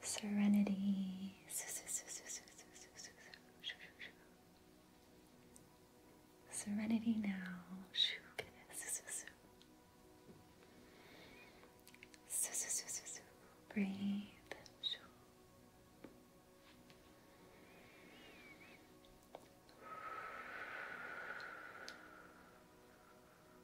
serenity, serenity now. Breathe.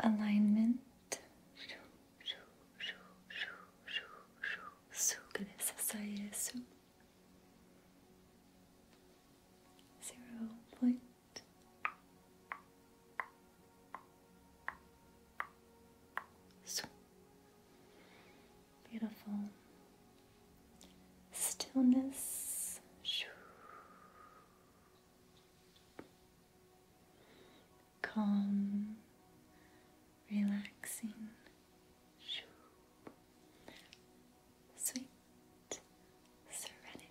alignment su zero point beautiful stillness calm, relaxing, sweet serenity.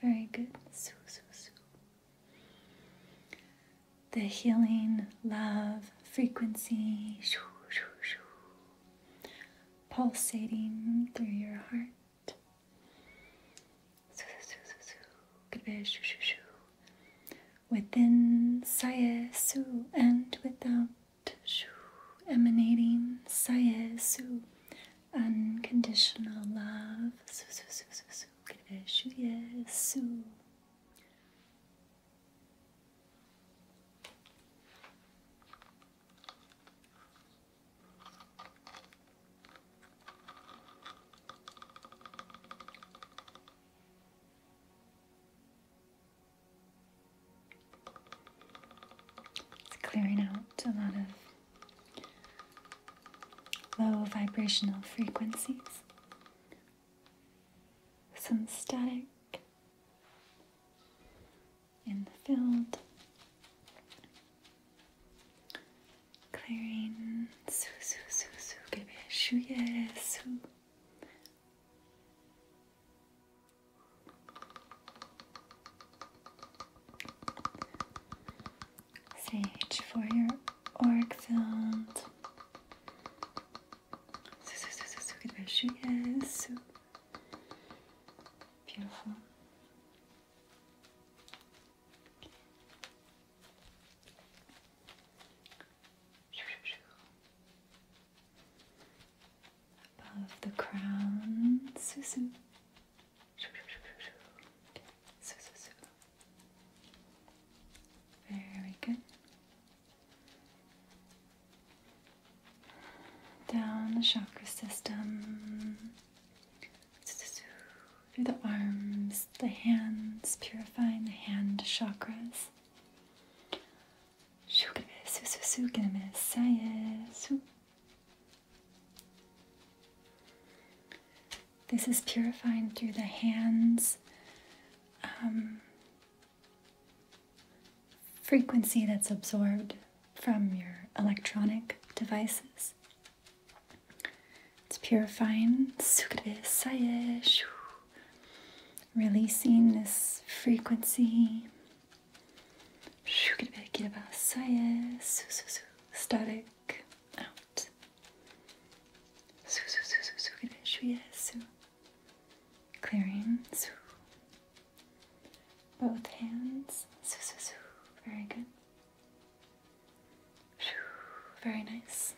Very good. The healing love frequency pulsating through your heart. Su, Within saya su and without shoo, emanating saya su unconditional love. Yes, clearing out a lot of low vibrational frequencies, some static in the field, clearing su su su su gebe shu ye su. Sage for your orgfeld. So, so, so, so, so good where she is. So beautiful. Above the crown, Susan. Very good. Down the chakra system. Through the arms, the hands, purifying the hand chakras. This is purifying through the hands. Um, frequency that's absorbed from your electronic devices. It's purifying, releasing this frequency, back out. Su su su su su su su. Clearing. Both hands. Su su su. Very good. Very nice.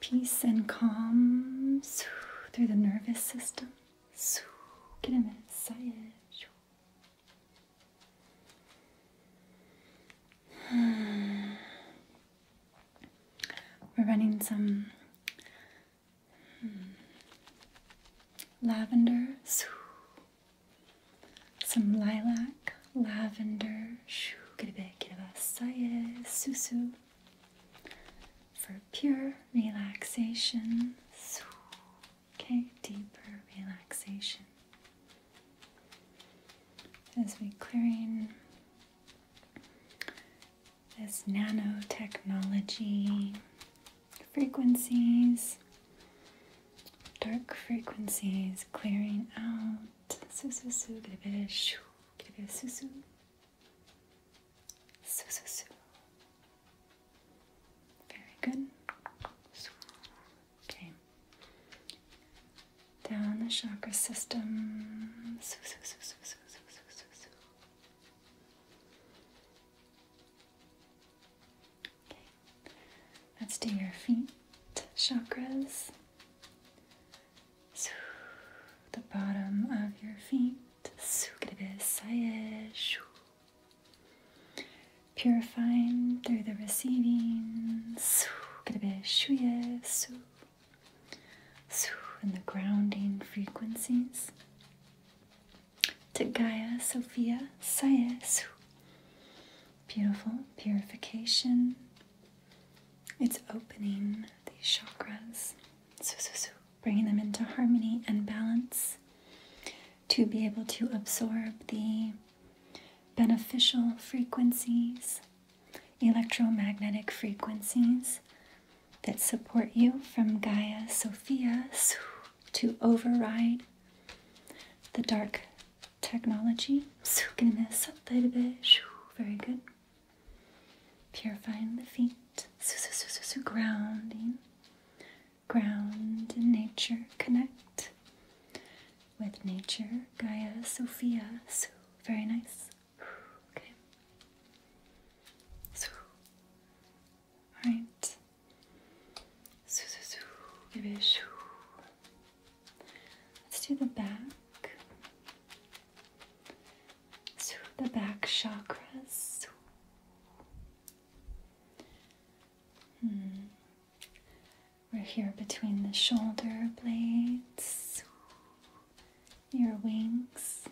Peace and calm through the nervous system. Get a minute. We're running some hmm, lavender, some lilac, lavender, susu for pure relaxation. Okay, deeper relaxation. As we clearing this nanotechnology frequencies, dark frequencies clearing out. Sususu, get a bit of shoo, get a bit of susu. Sususu. Very good. Okay. Down the chakra system. Okay. Let's do your feet chakras. The bottom of your feet. Purifying through the receiving. Get a bit shuye. And the grounding frequencies. To Gaia, Sophia, Saya. Beautiful purification. It's opening these chakras. Bringing them into harmony and balance to be able to absorb the beneficial frequencies, electromagnetic frequencies that support you from Gaia Sophia to override the dark technology. Very good. Purifying the feet, grounding, ground and nature connect with nature, Gaia, Sophia. So, very nice. Okay. So, all right. So, so, so, maybe shoo. Let's do the back. So, the back chakras. Hmm. We're here between the shoulder blades, your wings,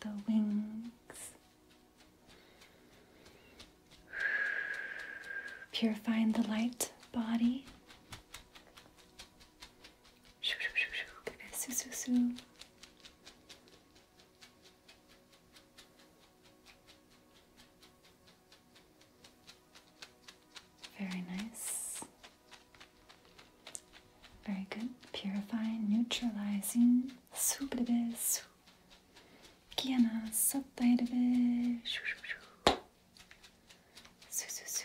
the wings. Purifying the light body. Very nice. Very good. Purifying, neutralizing. Su bebe su. Kiana satay Shoo shoo shoo. Su su su.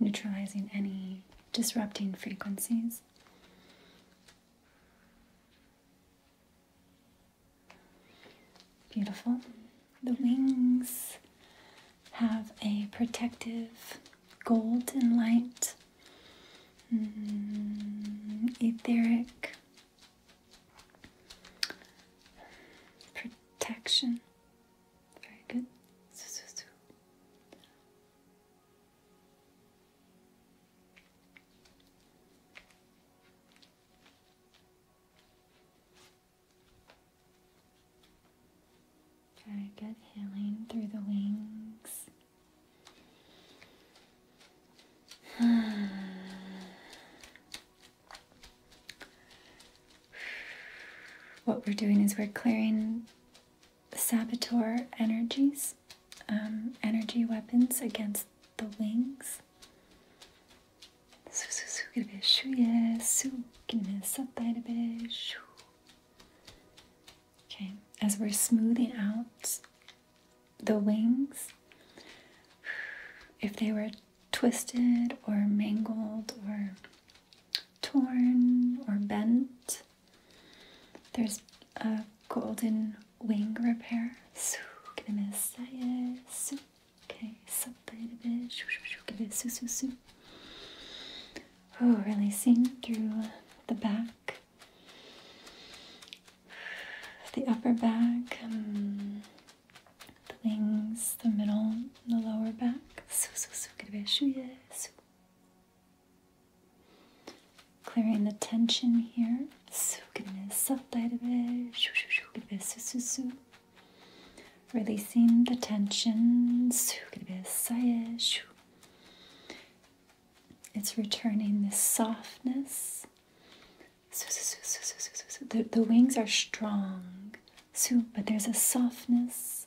Neutralizing any disrupting frequencies. Beautiful. The wings have a protective golden light, mm, etheric protection. Very good. Okay, good healing through the wings. what we're doing is we're clearing saboteur energies, um, energy weapons against the wings. Okay, as we're smoothing out the wings, if they were twisted or mangled or torn or bent, there's a golden wing repair. Okay, something Oh, releasing through the back, the upper back, um, the wings, the middle, the lower back. Clearing the tension here. Releasing the tension. Eh, it's returning this softness. The, the wings are strong, but there's a softness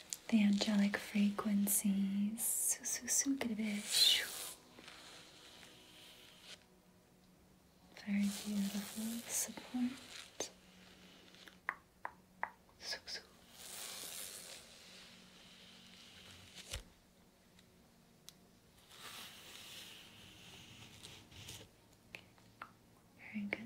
the angelic frequencies. Very beautiful support. Very good.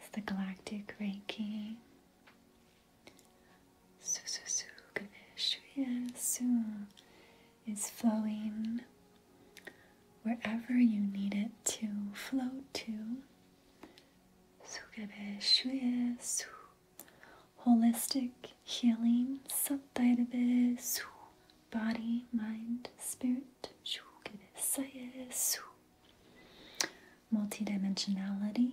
It's the Galactic Reiki. Su su su su is flowing wherever you need it to flow to. Su su holistic healing subdivide body, mind, spirit, multidimensionality,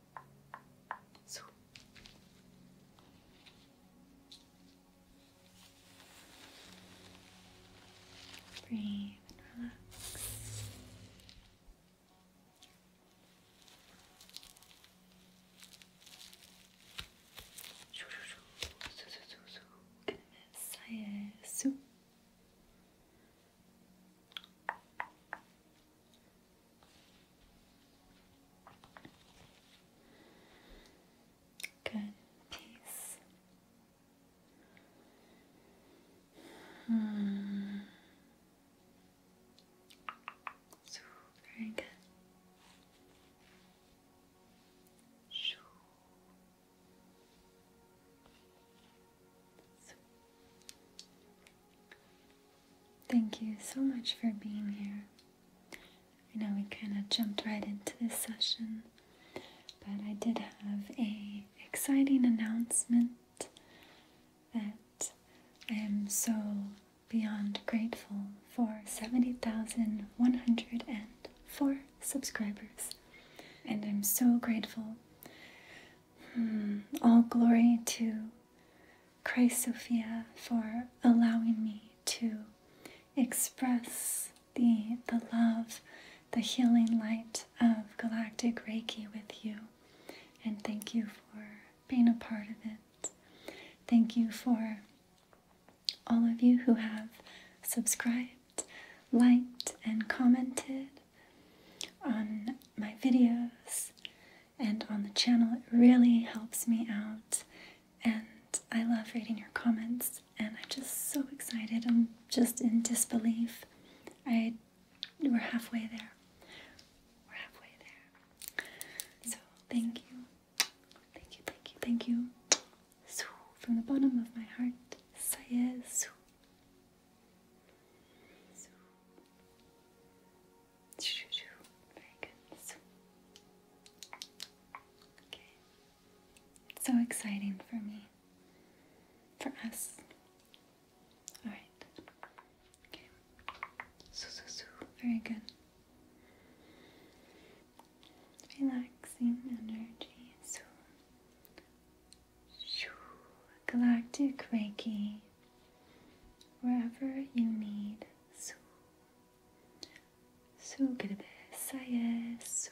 So. Breathe and relax. Kendime saye su Good peace. Hmm. So very good. Shoo. So. Thank you so much for being here. I know we kind of jumped right into this session, but I did have a exciting announcement that I am so beyond grateful for 70,104 subscribers. And I'm so grateful. Hmm, all glory to Christ, Sophia, for allowing me to express the, the love, the healing light of Galactic Reiki with you. And thank you for being a part of it. Thank you for all of you who have subscribed, liked, and commented on my videos and on the channel. It really helps me out, and I love reading your comments. And I'm just so excited. I'm just in disbelief. I we're halfway there. We're halfway there. So thank you, thank you, thank you, thank you. So from the bottom of my heart, Sayed. So. So, It's so exciting for me. For us. Alright. Okay. Very good. Relaxing energy. So, Galactic Reiki wherever you need su. Su saye su.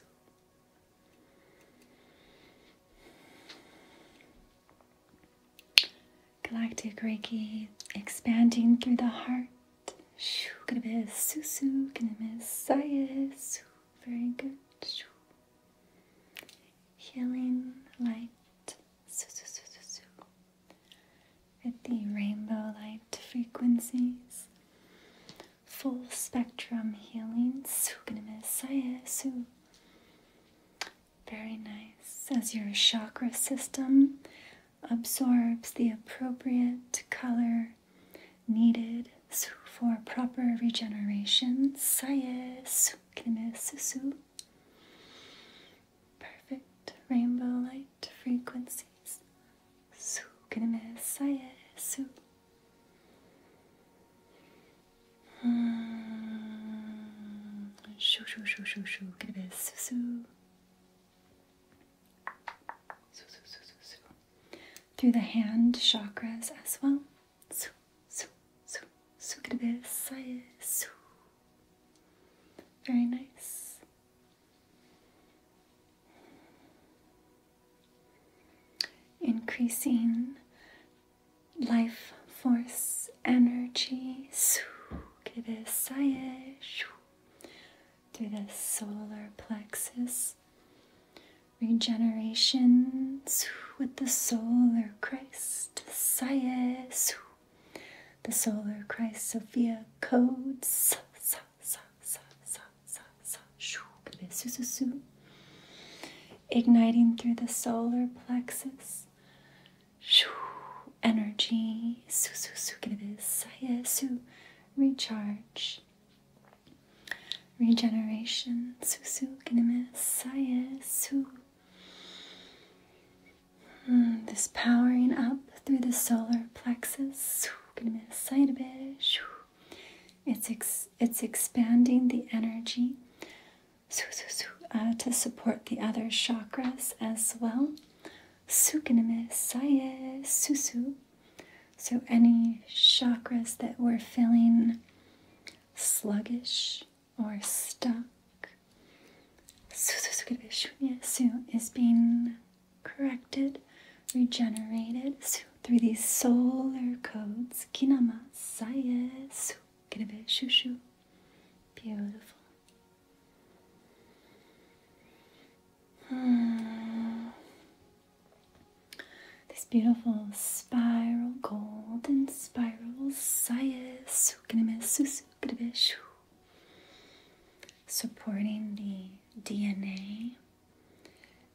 Galactic Reiki expanding through the heart. Shoo, gonna miss Susu, gonna miss Sayas. Very good. Shoo. Healing light at the rainbow light frequencies. Full spectrum healing. miss eh, Very nice. As your chakra system absorbs the appropriate color needed for proper regeneration. Eh, miss perfect rainbow light frequencies. Su ah, su. Shoo shoo shoo shoo shoo. Su su. Through the hand chakras as well so, so, so good this. So. Very nice. Increasing life force energy. So, good this. Through the solar plexus. Regeneration with the solar Christ Sias, the solar Christ Sophia codes. Igniting through the solar plexus. Energy. Recharge. Regeneration. Hmm, this powering up through the solar plexus. going It's it's expanding the energy uh, to support the other chakras as well. susu. So any chakras that were feeling sluggish or stuck. Su is being corrected, regenerated through these solar codes. Kinama sayesu shushu. Beautiful. Hmm. These beautiful spiral, golden spirals, sayas supporting the DNA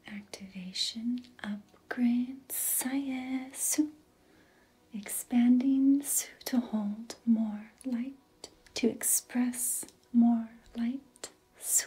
activation upgrade sayesu expanding to hold more light to express more light su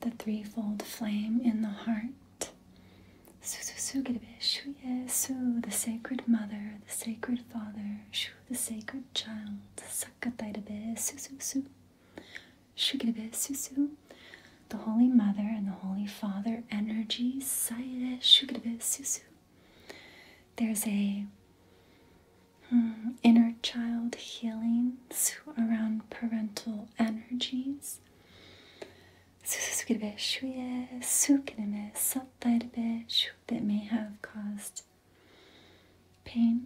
the threefold flame in the heart. Su shu su the sacred mother, the sacred father, Shu the sacred child, Su Su su. su the Holy Mother and the Holy Father energies. There's a hmm, inner child healing around parental energies sususuke de shuye sukineme satai that may have caused pain,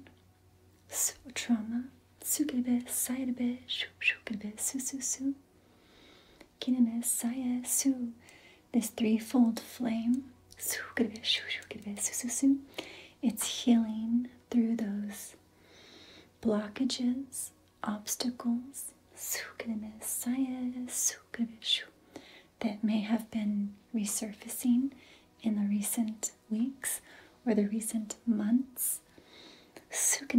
so trauma, sukinebe saidebe shukinebe sususu, kineme saya su, this threefold flame, sukinebe shukinebe sususu, it's healing through those blockages obstacles that may have been resurfacing in the recent weeks or the recent months. Or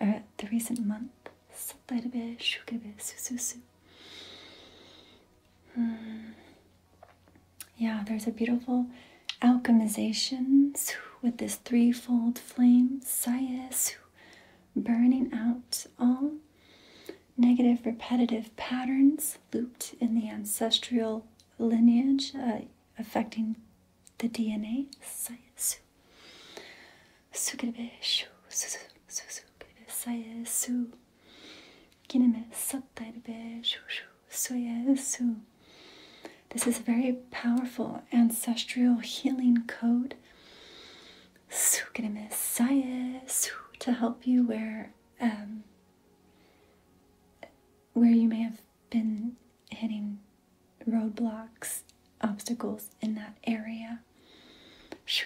uh, the recent month. Hmm. Yeah, there's a beautiful alchemization with this threefold flame, Sayesu, burning out all negative repetitive patterns looped in the ancestral lineage uh, affecting the DNA, Sayesu. Sukiribeshu, Sayesu. Kineme Sattairibeshu, Soyesu. This is a very powerful ancestral healing code to help you where um, where you may have been hitting roadblocks, obstacles in that area. This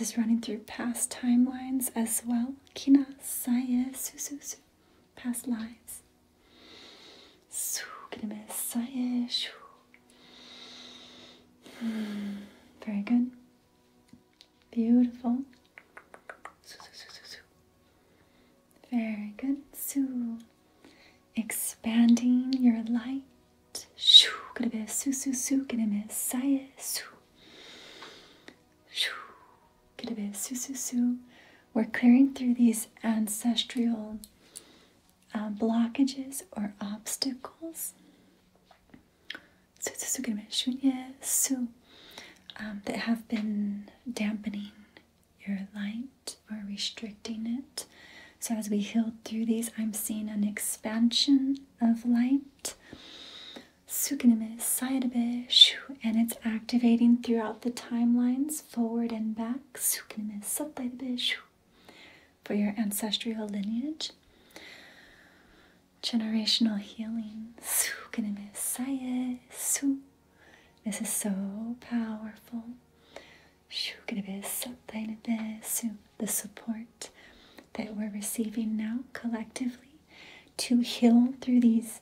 is running through past timelines as well. Kina saya susu past lives. So, hmm, Very good. Beautiful. Very good. So, Expanding your light. Shoo. Gonna be su su su. Gonna be saya su. Shoo. Get a bit su su su. We're clearing through these ancestral uh, blockages or obstacles. So Su su um, su su. That have been dampening your light or restricting it. So as we heal through these, I'm seeing an expansion of light. And it's activating throughout the timelines forward and back for your ancestral lineage. Generational healing. This is so powerful. The support that we're receiving now collectively to heal through these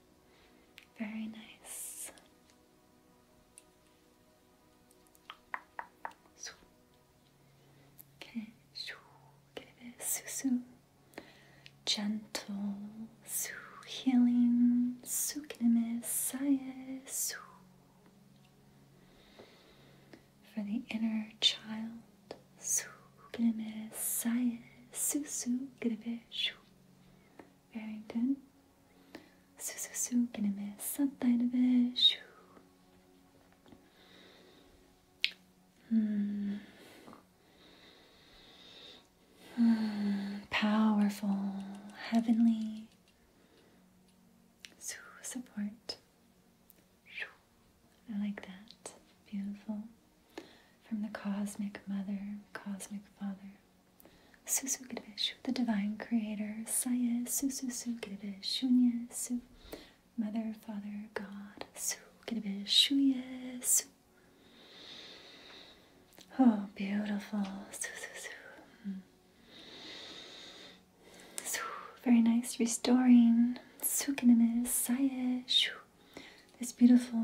Very nice. Okay, get it. Susu. Gentle, su healing, su saye, su. For the inner child, su saye, susu, shu. Very good. Su su su kineme sattaydı ve şu. Hmm. hmm. Powerful, heavenly. Su support. I like that. Beautiful from the Cosmic Mother, Cosmic Father, Susu the Divine Creator, Saya Susu Su Shunya Su, Mother, Father, God, Su Girvesh, Shuya Oh, beautiful. Su, su, hmm. very nice. Restoring. Sukinamis, Saya, Shu. beautiful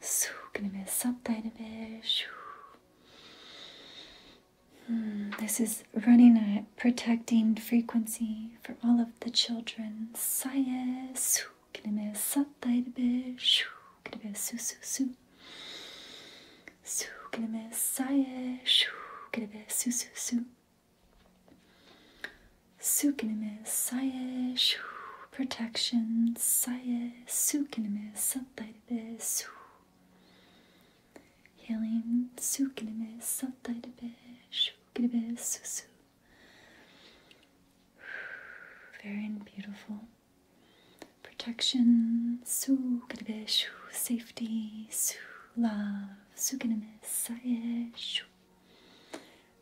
Su kendime saptaydı Hmm, this is running a protecting frequency for all of the children. Saye su kendime saptaydı be. Şu kendime su su su. Su kendime saye şu a su su su. Sukinime saye protection saye sukinamis, sattaitabe su healing sukinime sattaitabe shukinabe susu very beautiful protection sukinabe shu safety su love sukinime saye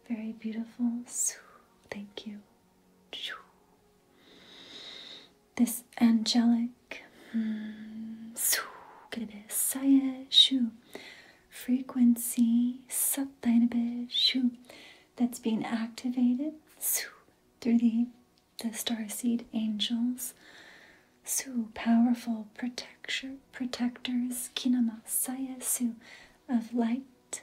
very beautiful su thank you this angelic hmm, frequency that's being activated through the, the star seed angels. Su, powerful protector, protectors, kinama sayasu, of light,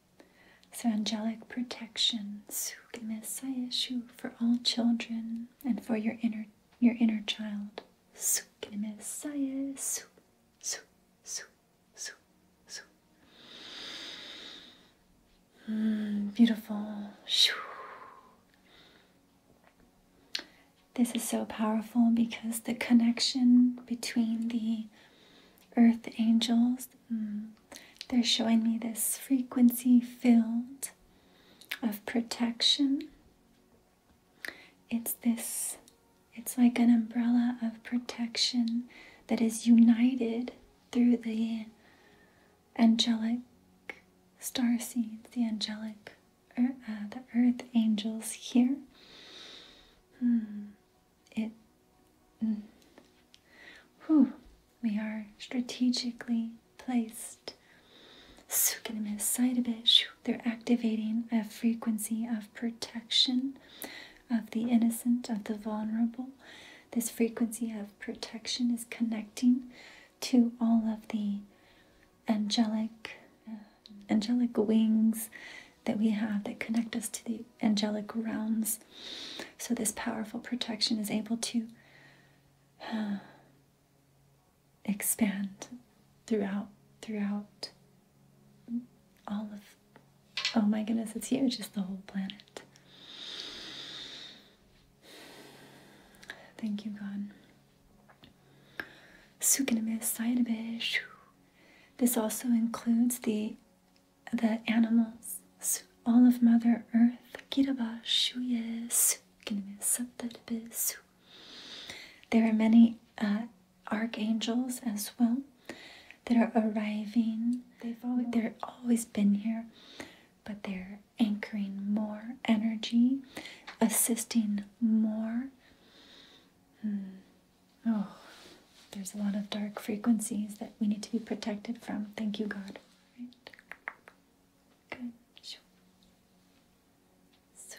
So, angelic protection, sukemis, I issue for all children and for your inner your inner child. Sukemis, I su, su, su, su, su. Hmm, beautiful. This is so powerful because the connection between the earth angels. Hmm, they're showing me this frequency field of protection. It's this, it's like an umbrella of protection that is united through the angelic star seeds, the angelic, er, uh, the earth angels here. Hmm it. Mm, we are strategically placed. So They're activating a frequency of protection of the innocent, of the vulnerable. This frequency of protection is connecting to all of the angelic, uh, angelic wings that we have that connect us to the angelic realms. So, this powerful protection is able to uh, expand throughout, throughout all of. Oh my goodness, it's huge, it's the whole planet. Thank you, God. This also includes the the animals, all of Mother Earth, there are many uh, archangels as well that are arriving. They've always, been here, but they're anchoring more energy, assisting more. Hmm. Oh there's a lot of dark frequencies that we need to be protected from. Thank you, God. Right? Good. Sure. So,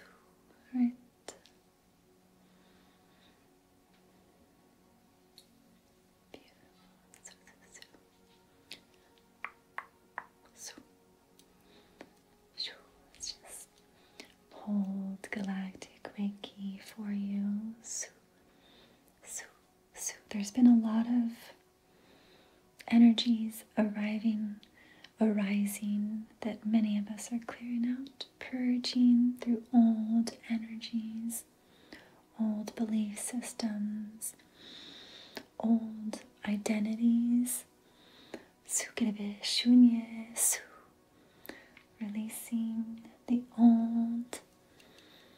right. Beautiful. So, so, so. So, let's just hold galactic Reiki for you. So, so, so there's been a lot of energies arriving, arising that many of us are clearing out, purging through old energies, old belief systems, old identities. So Releasing the old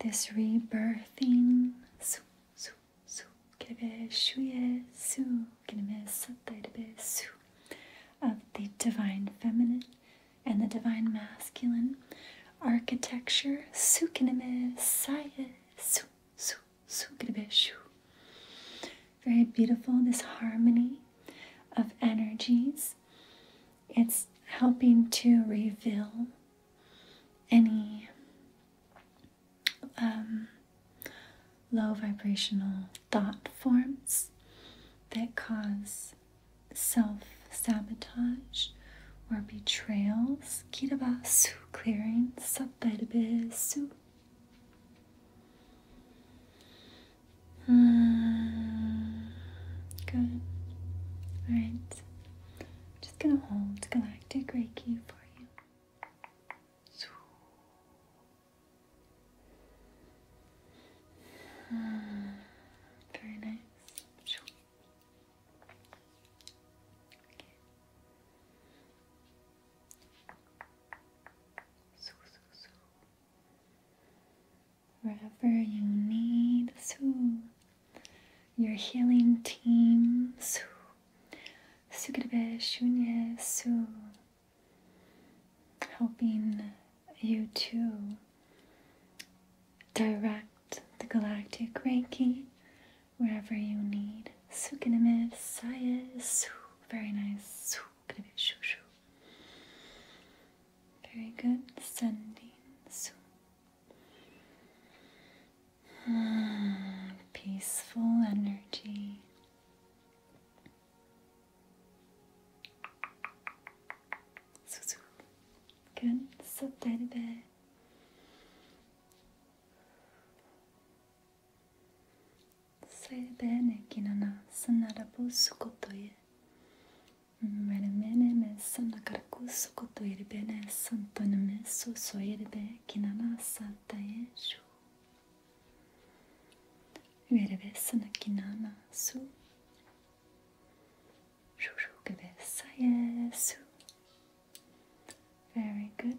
This rebirthing of the divine feminine and the divine masculine architecture su very beautiful this harmony of energies it's helping to reveal any um, low vibrational thought forms that cause self sabotage or betrayals. Kitabasu clearing sabbabisu. Mm, good. All right. It's going to hold galactic reiki for you. Mm, very nice. Okay. So, so, so. Wherever you need soothed, your healing team. Su. Su. Helping you to direct the galactic Reiki wherever you need. Sukiname Saya Su. Very nice. Sukiname Shushu. Very good. Sending. Su. Peaceful energy. Good. Soak that a bit. Sanadarabhu Sukotoye. Merimene me sanakaraku Sokoto Eriberé, Santana Messo, Soyeribe, Kinana, Sata Very good.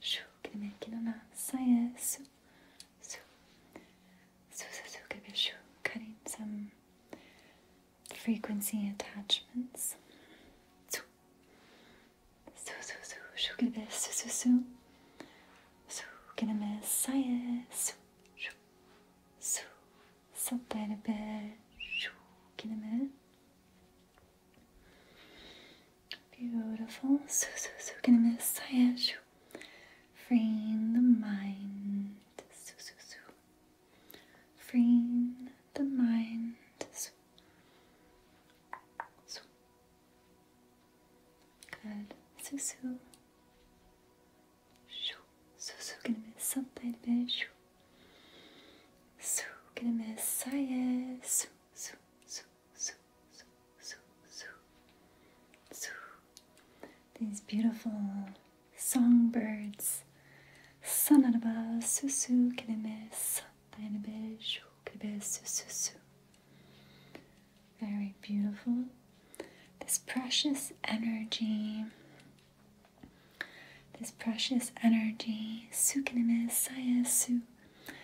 Shoo, queria aqui no nosso isso. So, so, so, so, shoo, cutting some frequency attachments. So, so, so, so, shoo, so, so, so, so, gonna miss isso. So, saltar a bit, shoo, gonna miss. Beautiful. So, so, so gonna miss. Freeing the mind. So, so, so. Freeing the mind. So. so. Good. So, so. So, so gonna miss something a bit. So, gonna miss. So, so, so zoo, zoo, zoo, zoo, These beautiful songbirds. Sanaraba susu keremes, dainabe shu kerebe Very beautiful. This precious energy this precious energy, sukinime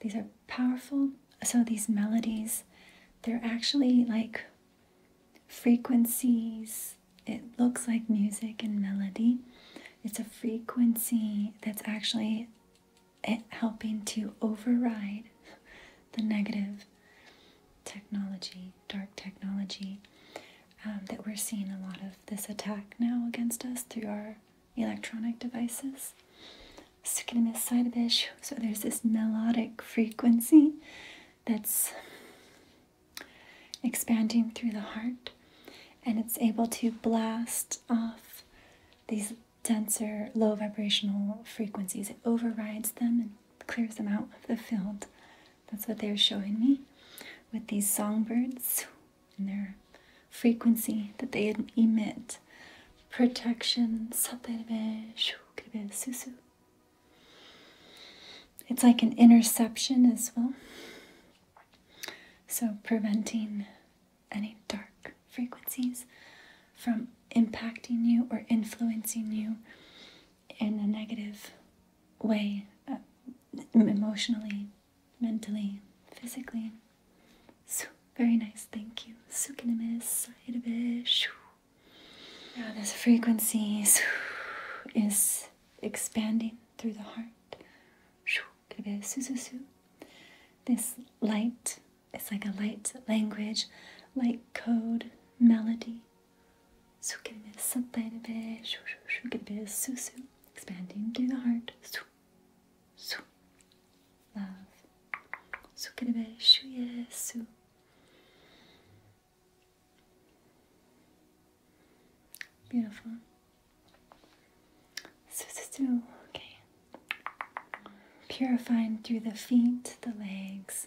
These are powerful. So these melodies, they're actually like frequencies. It looks like music and melody. It's a frequency that's actually eh, helping to override the negative technology dark technology um, that we're seeing a lot of this attack now against us through our electronic devices. So this side of it, so there's this melodic frequency that's expanding through the heart and it's able to blast off these denser low vibrational frequencies. It overrides them and clears them out of the field that's what they were showing me with these songbirds and their frequency that they emit. Protection. It's like an interception as well. So preventing any dark frequencies from impacting you or influencing you in a negative way, uh, emotionally, mentally, physically. So, very nice, thank you. Sukinimis, Now this frequency is expanding through the heart. This light, it's like a light language, light code, melody. So get a bit, so tiny expanding through the heart, so so, love, so get yes, so. Beautiful. okay. Purifying through the feet, the legs.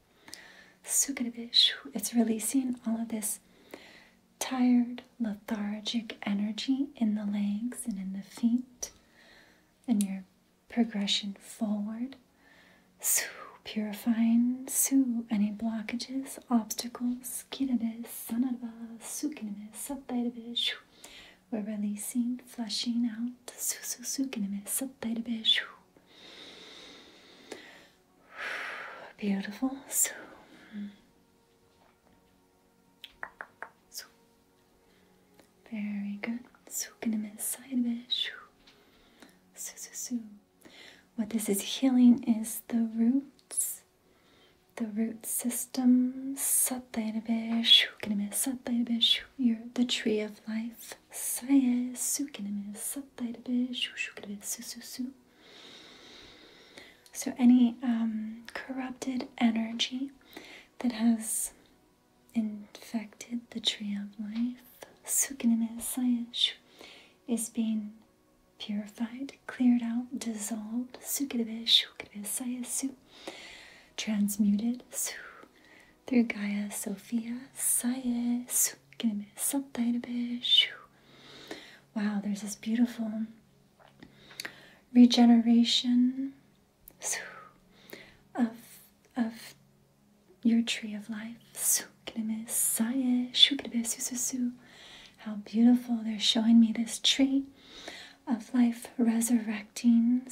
It's releasing all of this tired, lethargic energy in the legs and in the feet and your progression forward. Su, purifying su, any blockages, obstacles, kirades, sanadva, sukinimis, subdaitabish. We're releasing, flushing out, su su sukinimis, subdaitabish. Beautiful. So, hmm. so very good. So, side bit. So, so, so. What this is healing is the roots, the root system. You're the tree of life своя sukiname sattaidabe shushukadabe sususu. So any um, corrupted energy that has infected the tree of life, sukiname saya is being purified, cleared out, dissolved, sukadabe shukabe saya su, transmuted su through Gaia Sophia Sayes. Wow, there's this beautiful regeneration of, of your tree of life. su How beautiful. They're showing me this tree of life resurrecting.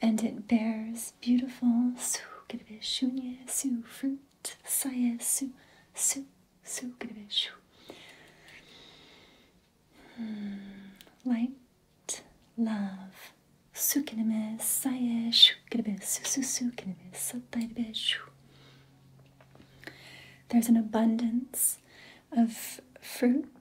And it bears is beautiful. Su kirebe shunye su fruit saye su su su kirebe shu. Light love. Sukineme saye shu kirebe su su su kirebe sataybe shu. There's an abundance of fruit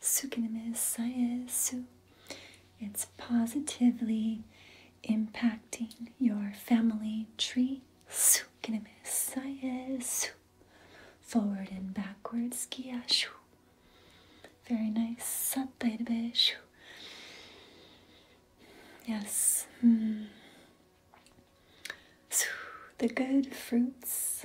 Sukinimisaisu. It's positively impacting your family tree. Sukinimisaisu. Forward and backwards. Kiyashu. Very nice. Satairibeshu. Yes. Mm. The good fruits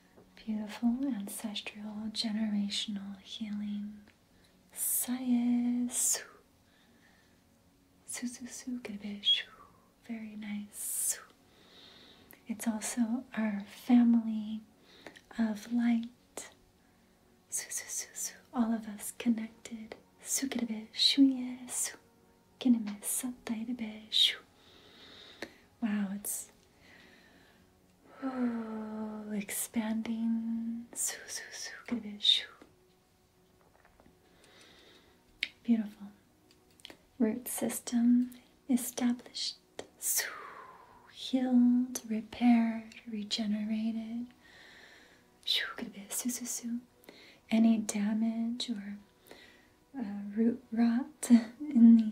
Beautiful ancestral generational healing. Sayesu. Su su su Very nice. It's also our family of light. Su su su su. All of us connected. Su kirebe shuye su. Kineme satai Wow, it's Oh, expanding. Beautiful. Root system established. Healed, repaired, regenerated. su su su. Any damage or uh, root rot in the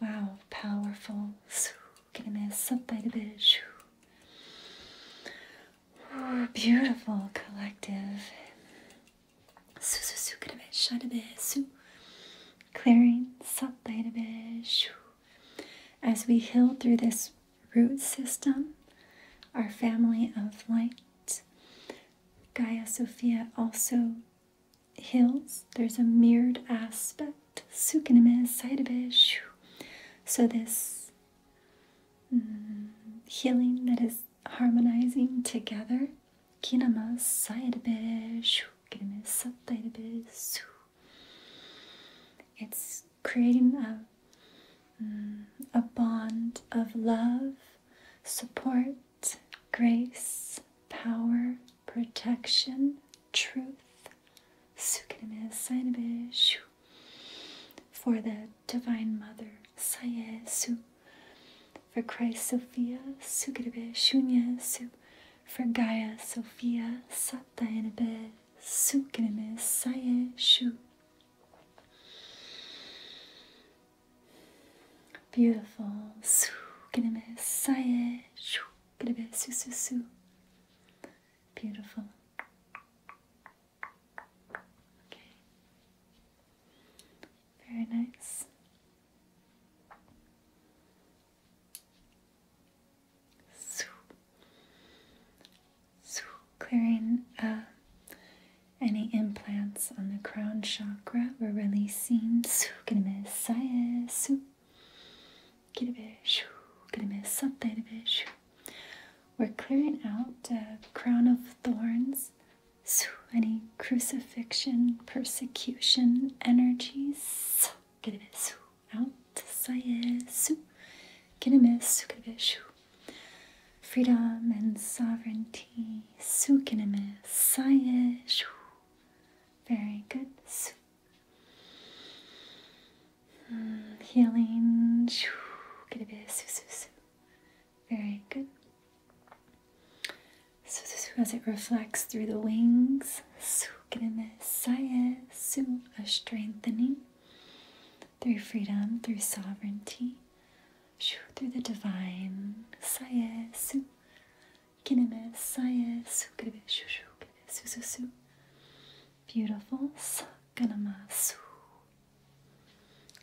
Wow, powerful. Oh, beautiful collective. Clearing As we heal through this root system, our family of light, Gaia Sophia also hills, there's a mirrored aspect. So, this mm, healing that is harmonizing together. It's creating a, mm, a bond of love, support, grace, power, protection, truth, for the Divine Mother, Sayesu, for Christ Sophia, Sukirbe Shunyesu, for Gaia Sophia, Satayanebe, Sukirme Sayeshu. Beautiful. Su kineme saye. Shu kineme su su su. Beautiful. Okay. Very nice. Su. Su clearing uh, any implants on the crown chakra. We're releasing. Su get a shoo, kidimessa, yesu. Kidibeshu, a tedibeshu. We're clearing out uh, crown of thorns, so any crucifixion, persecution, energies. Get a Kidibessu, out, sayesu. a kidibeshu. Freedom and sovereignty, sukinime, sayeshu. Very good. Mm, healing. Very good. As it reflects through the wings, a strengthening through freedom, through sovereignty, through the divine, Kineme saye sukrebe shushu krebe sususu. Beautiful sakanama su.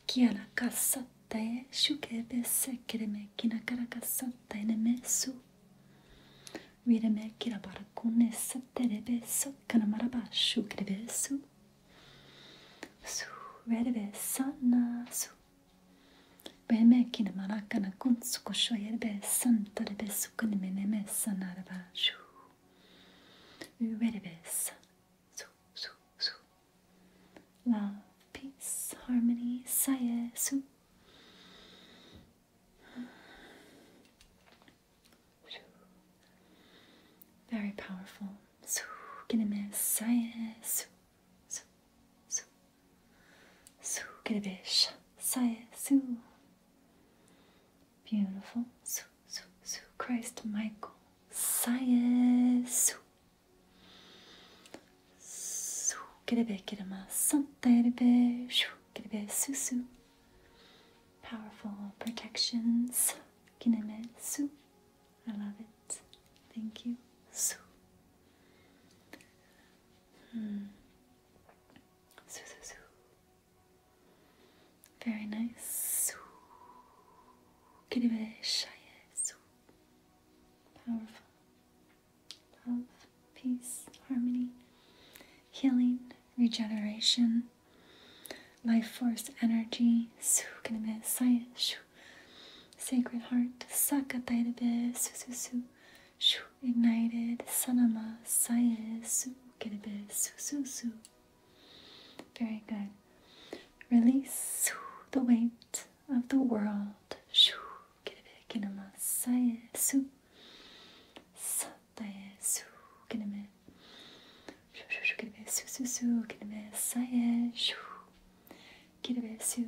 Kiana kasatte shukrebe sekreme kinakara kasatte neme su. Vireme kirabarakune saterebe sakanamaraba shukrebe su. Su redebe sana su Benmekine marakana kuntsuko shoyerbe santarebe sukunimene sanaraba shu. Uverebes. Su, su, su. Love, peace, harmony, saye, su. Very powerful. Su, kineme, saye, su su, su, su, get a bit say, su. Beautiful, su, su, su, Christ Michael, say, su. Su, get a bit, get a ma, something a bit, shoo, get a bit, su, su. Powerful protections, get a bit, su. I love it. Thank you. Su. Hmm. Very nice. Su. Powerful. Love, peace, harmony, healing, regeneration, life force energy. Su. Sacred Heart, Sakatairabe, Sususu, Shu, Ignited, Sanama, Saye, Sukirabe, Sususu. Very good. Release the weight of the world. Shu, Kirabe, Kinama, Saye, Su, Sataye, Su, Kiname. Shu, Shu, Kirabe, Sususu, Kiname, Saye, Shu, Kirabe, Su.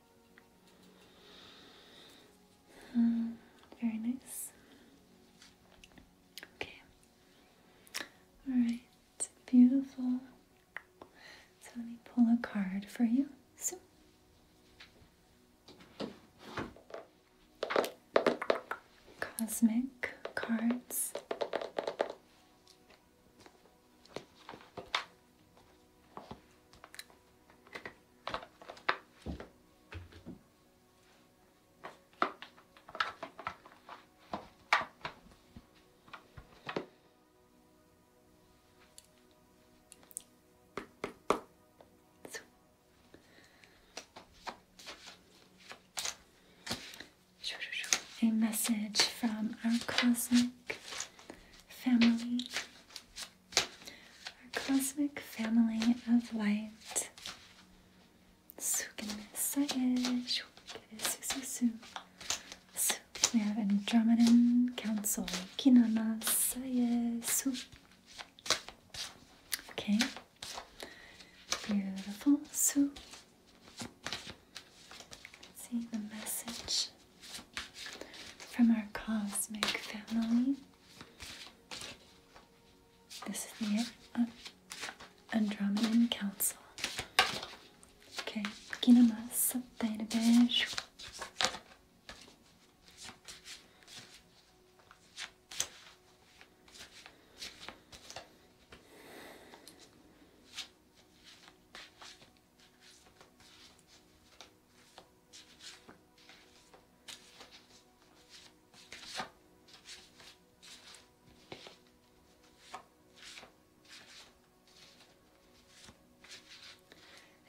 Hmm, very nice. Okay. Alright, beautiful. So let me pull a card for you. So Cosmic cards. A message from our cosmic family our cosmic family of light. We have Andromedan Council. Kinana Sayesu. Okay. Beautiful. So, see the message from our cosmic family. This is the uh, Andromedan Council. Okay, Kinamasu database.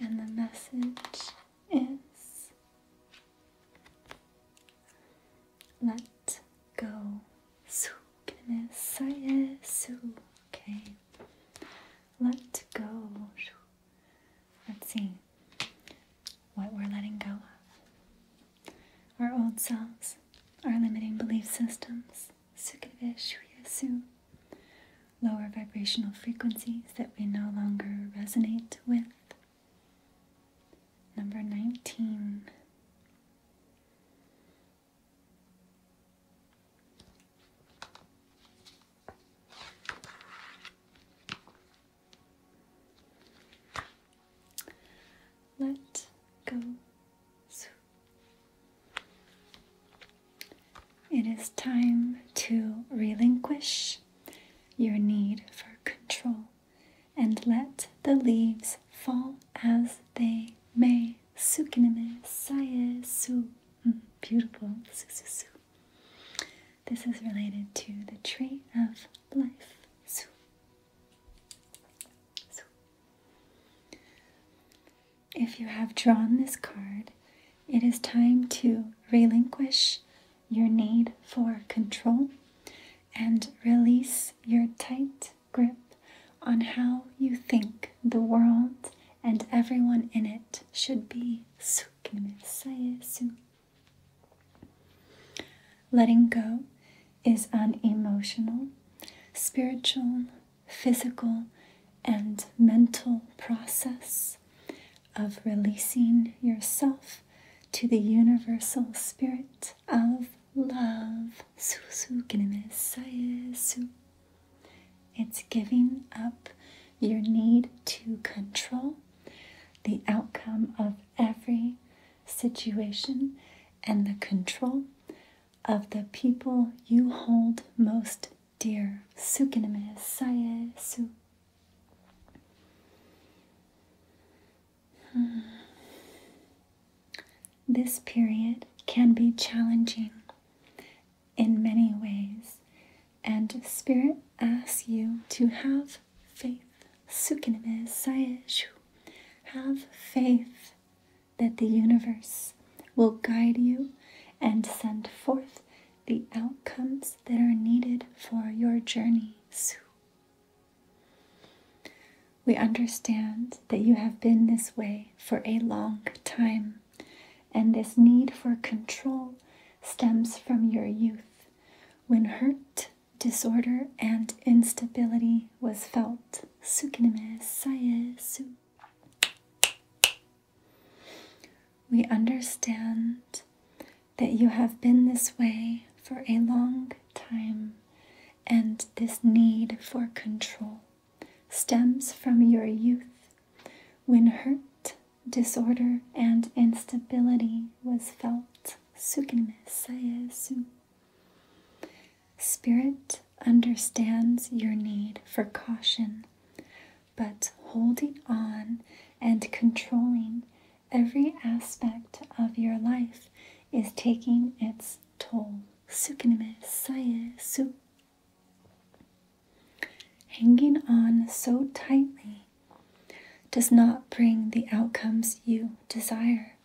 And the message is let go. Okay. Let go. Let's see what we're letting go of. Our old selves, our limiting belief systems, lower vibrational frequencies that we no longer resonate with. Number 19. Let go. It is time to relinquish your need for control and let the leaves fall as they may. Sukiname saye su. Mm, beautiful. Su su this is related to the tree of life. So, If you have drawn this card, it is time to relinquish your need for control and release your tight grip on how you think the world and everyone in it should be. Letting go is an emotional, spiritual, physical, and mental process of releasing yourself to the universal spirit of love. It's giving up your need to control the outcome of every situation and the control of the people you hold most dear. Sukinamisayesu. Hmm. This period can be challenging in many ways, and Spirit asks you to have faith. Have faith that the universe will guide you and send forth the outcomes that are needed for your journey. We understand that you have been this way for a long time and this need for control stems from your youth, when hurt, disorder, and instability was felt. We understand that you have been this way for a long time, and this need for control stems from your youth when hurt, Disorder and instability was felt. Spirit understands your need for caution, but holding on and controlling every aspect of your life is taking its toll. Hanging on so tightly does not bring the outcomes you desire.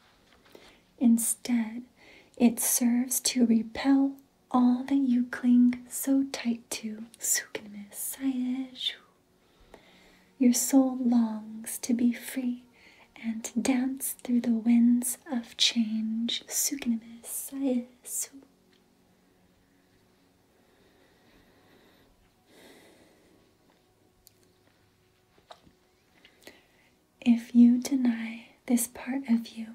Instead, it serves to repel all that you cling so tight to. Your soul longs to be free and to dance through the winds of change. If you deny this part of you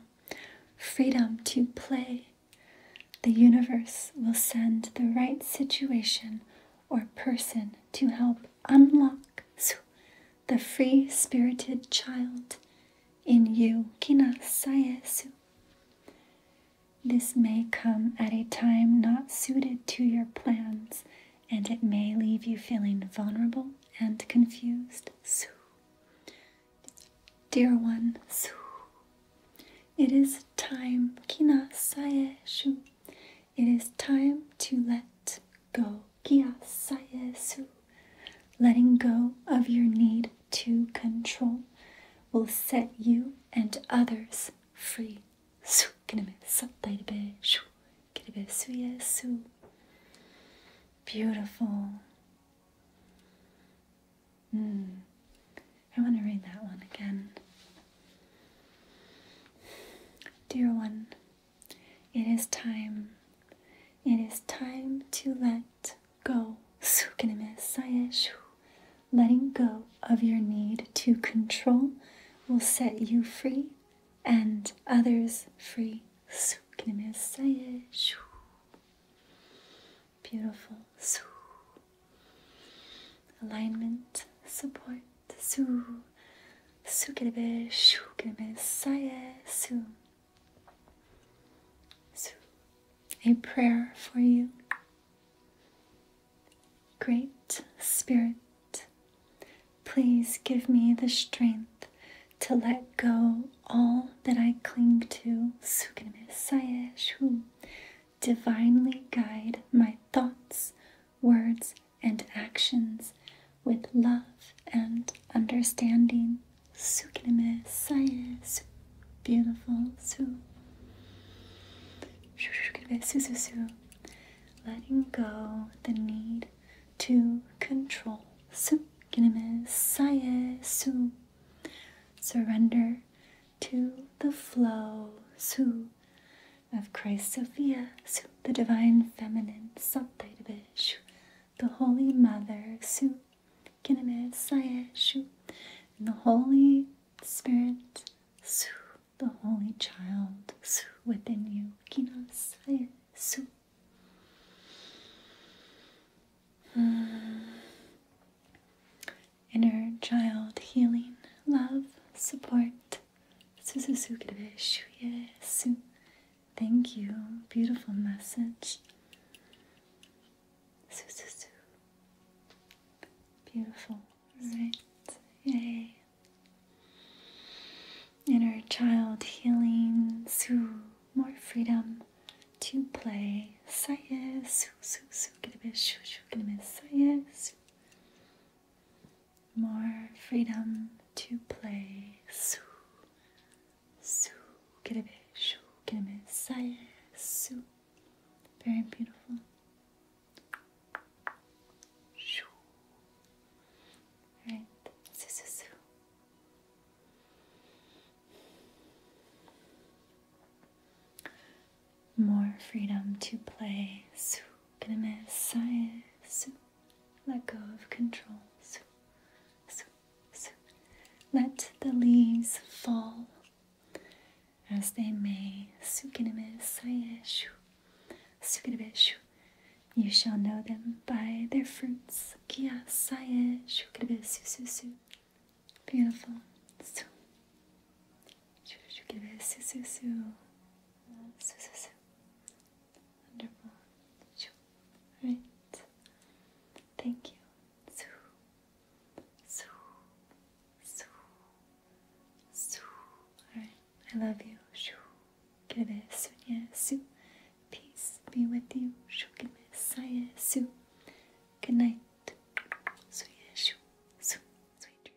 freedom to play, the universe will send the right situation or person to help unlock the free spirited child in you. This may come at a time not suited to your plans, and it may leave you feeling vulnerable and confused. Dear one, it is time, kina sae It is time to let go, kia sae Letting go of your need to control will set you and others free. Beautiful. Mm. I want to read that one again. Dear one, it is time. It is time to let go, letting go of your need to control will set you free and others free. Beautiful. Alignment, support. Su a prayer for you. Great Spirit, please give me the strength to let go all that I cling to. Divinely guide my thoughts, words, and actions with love and understanding su kelime saye su beautiful su su su su su letting go the need to control su kelime saye su surrender to the flow su of Christ Sophia su the divine feminine shu the holy mother su and the Holy Spirit, su, the Holy Child su, within you. Hmm. Inner child healing, love, support. Su su su Thank you. Beautiful message. Beautiful. right? Yay. Inner child healing. Soo. More freedom to play. Saye. Soo, soo, soo. Get a bit. Shoo, shoo. Get a bit. Saye. More freedom to play. Soo. Soo. Get a bit. Shoo. Get a bit. Saye. Soo. Very beautiful. Shoo. More freedom to play. Let go of control. Let the leaves fall as Asdeme Sukinime Sayeshu Sukinibeshu. You shall know them by their fruits. Kia Saye Shukinibesu Susu. Beautiful. Su. Shukinibesu Susu. Susu. Wonderful. Right. Thank you. Soo, soo, soo. Alright, I love you. Shoo. Kere Yes, soo. Peace be with you. Shukime yes, soo. Good night. Suye shu. Su. Sweet dreams.